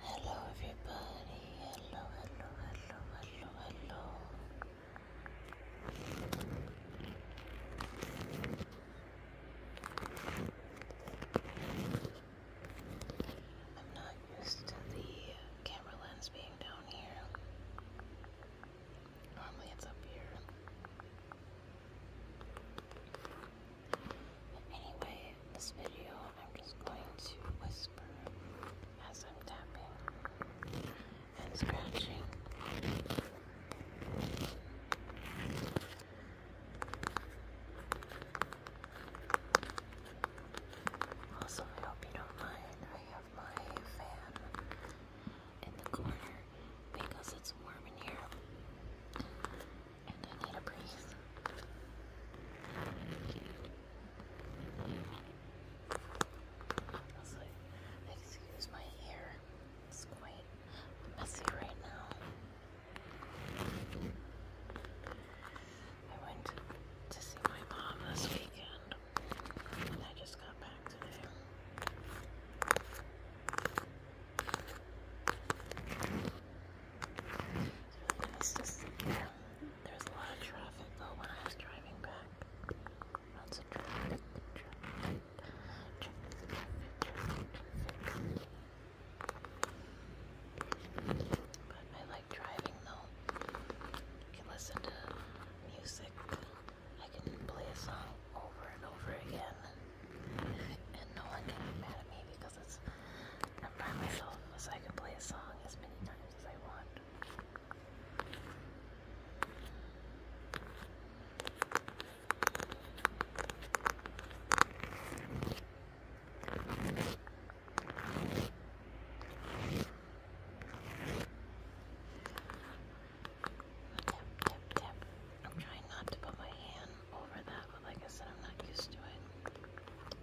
Hello, everybody. Hello, hello, hello, hello, hello. I'm not used to the camera lens being down here. Normally it's up here anyway, this video, I'm just going to whisper as I'm tapping and scratching. Also, I hope you don't mind. I have my fan in the corner because it's warm in here and I need a breeze. excuse my hair, it's quite messy right now. I went to see my mom this weekend, and I just got back today. It was just, a lot of traffic though when I was driving back. Lots of traffic, I like driving though. I can listen to music. I can play a song over and over again. And no one can mad at me because I'm by myself, so I can play a song as many times as I want. Tap, tap, tap. I'm trying not to put my hand over that, but like I said, I'm not used to it.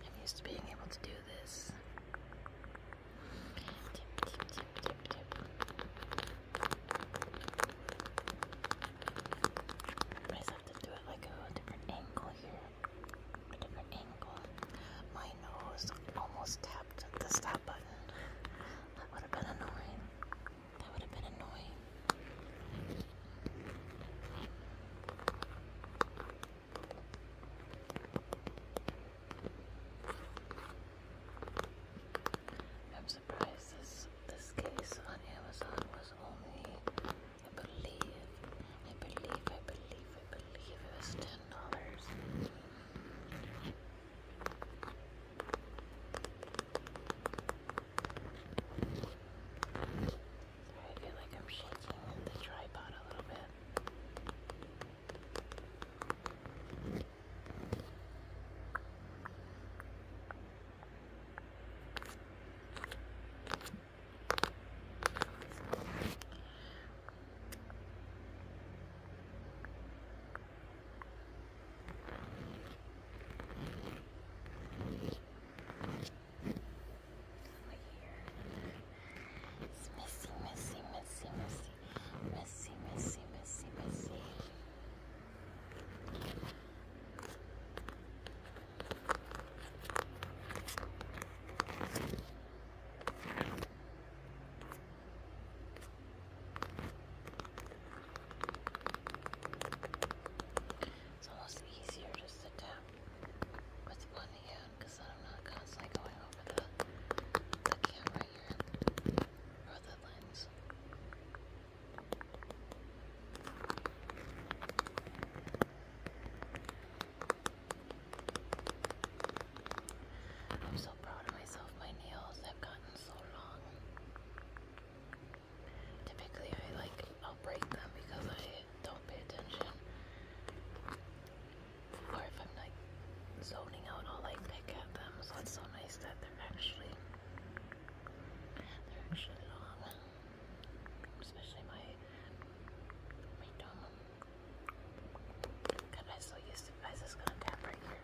I'm used to being able to do this. I just have to do it like a different angle here. A different angle. My nose almost tapped the stop button. That would have been annoying. That would have been annoying. I'm surprised this this case on Amazon was only I believe I believe I believe I believe it was ten dollars. I feel like I'm shaking the tripod a little bit. It's messy, messy, messy, messy, messy, messy, messy, messy. It's almost easier to sit down with one hand because I'm not constantly going over the, the camera here or the lens. I'm so proud of myself. My nails have gotten so long. Typically, I like I'll break them because I don't pay attention, or if I'm like zoning out, I'll like pick at them. So it's so nice that they're actually they're actually long, especially my my dome. God, I so used to. I just gonna right here.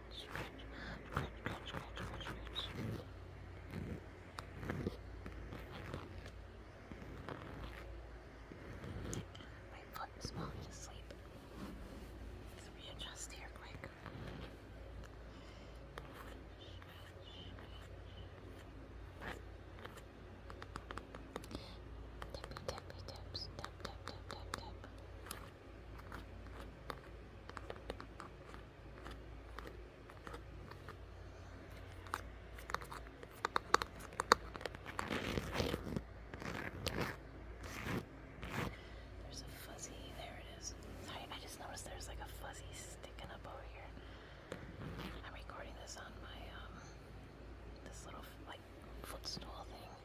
my foot is falling asleep. Let's readjust here quick. Tippy, tippy, tips, tap, tap, tap, tap, there's a fuzzy, there it is. Sorry, I just noticed there's like a fuzzy sticking up over here. I'm recording this on my, um, this little, like, footstool thing. If,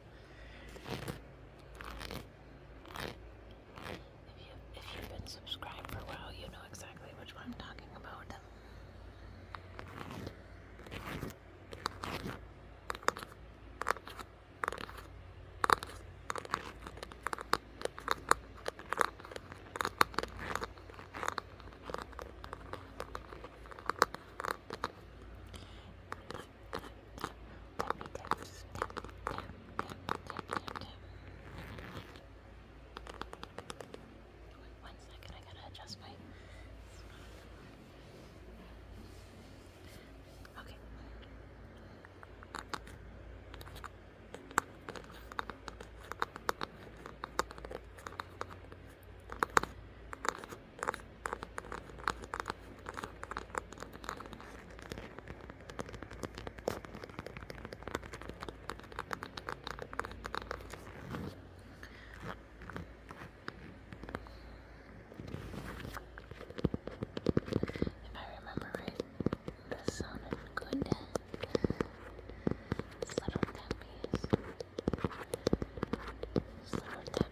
you, have been subscribed for a while, you know exactly which one I'm talking about times. Damn, one second, I gotta adjust my. Okay. If I remember right, that sounded good. Slow down,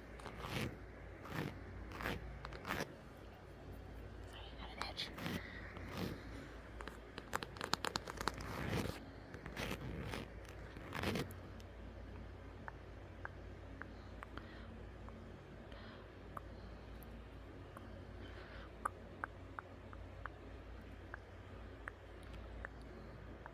Sorry, I got an itch. All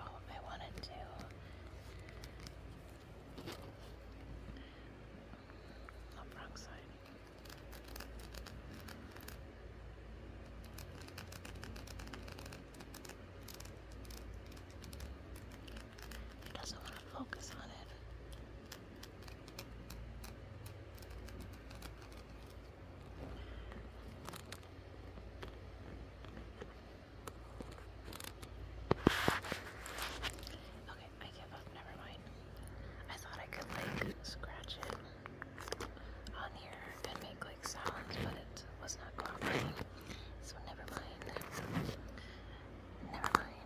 Oh, I wanted to. Oh, wrong side. He doesn't want to focus on it. Okay, I give up. Never mind. I thought I could like scratch it on here and make like sounds, but it was not cooperating. So never mind. Never mind.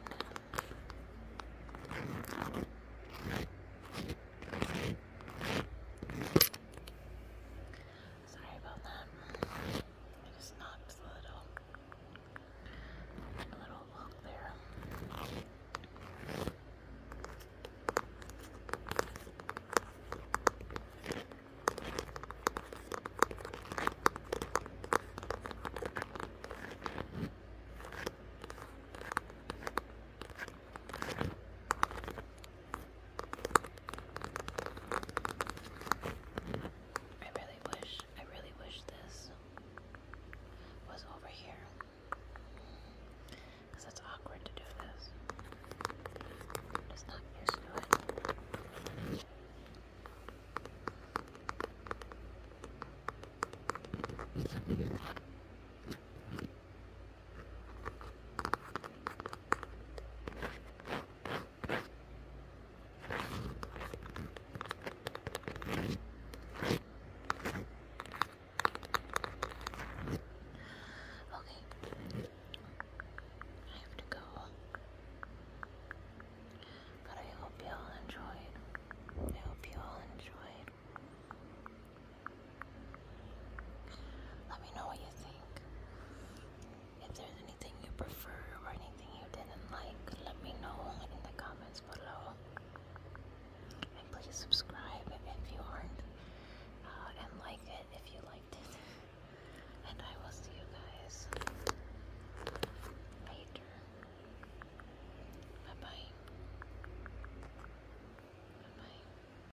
Sorry about that. I just knocked a little, little look there. I really wish, I really wish this was over here. Because it's awkward to do this. I'm just not used to it. Okay. I have to go. But I hope you all enjoyed. I hope you all enjoyed. Let me know what you think. If there's anything you prefer or anything you didn't like, let me know in the comments below. And please subscribe if you aren't, uh, and like it if you liked it. And I will see you guys later. Bye bye. Bye bye.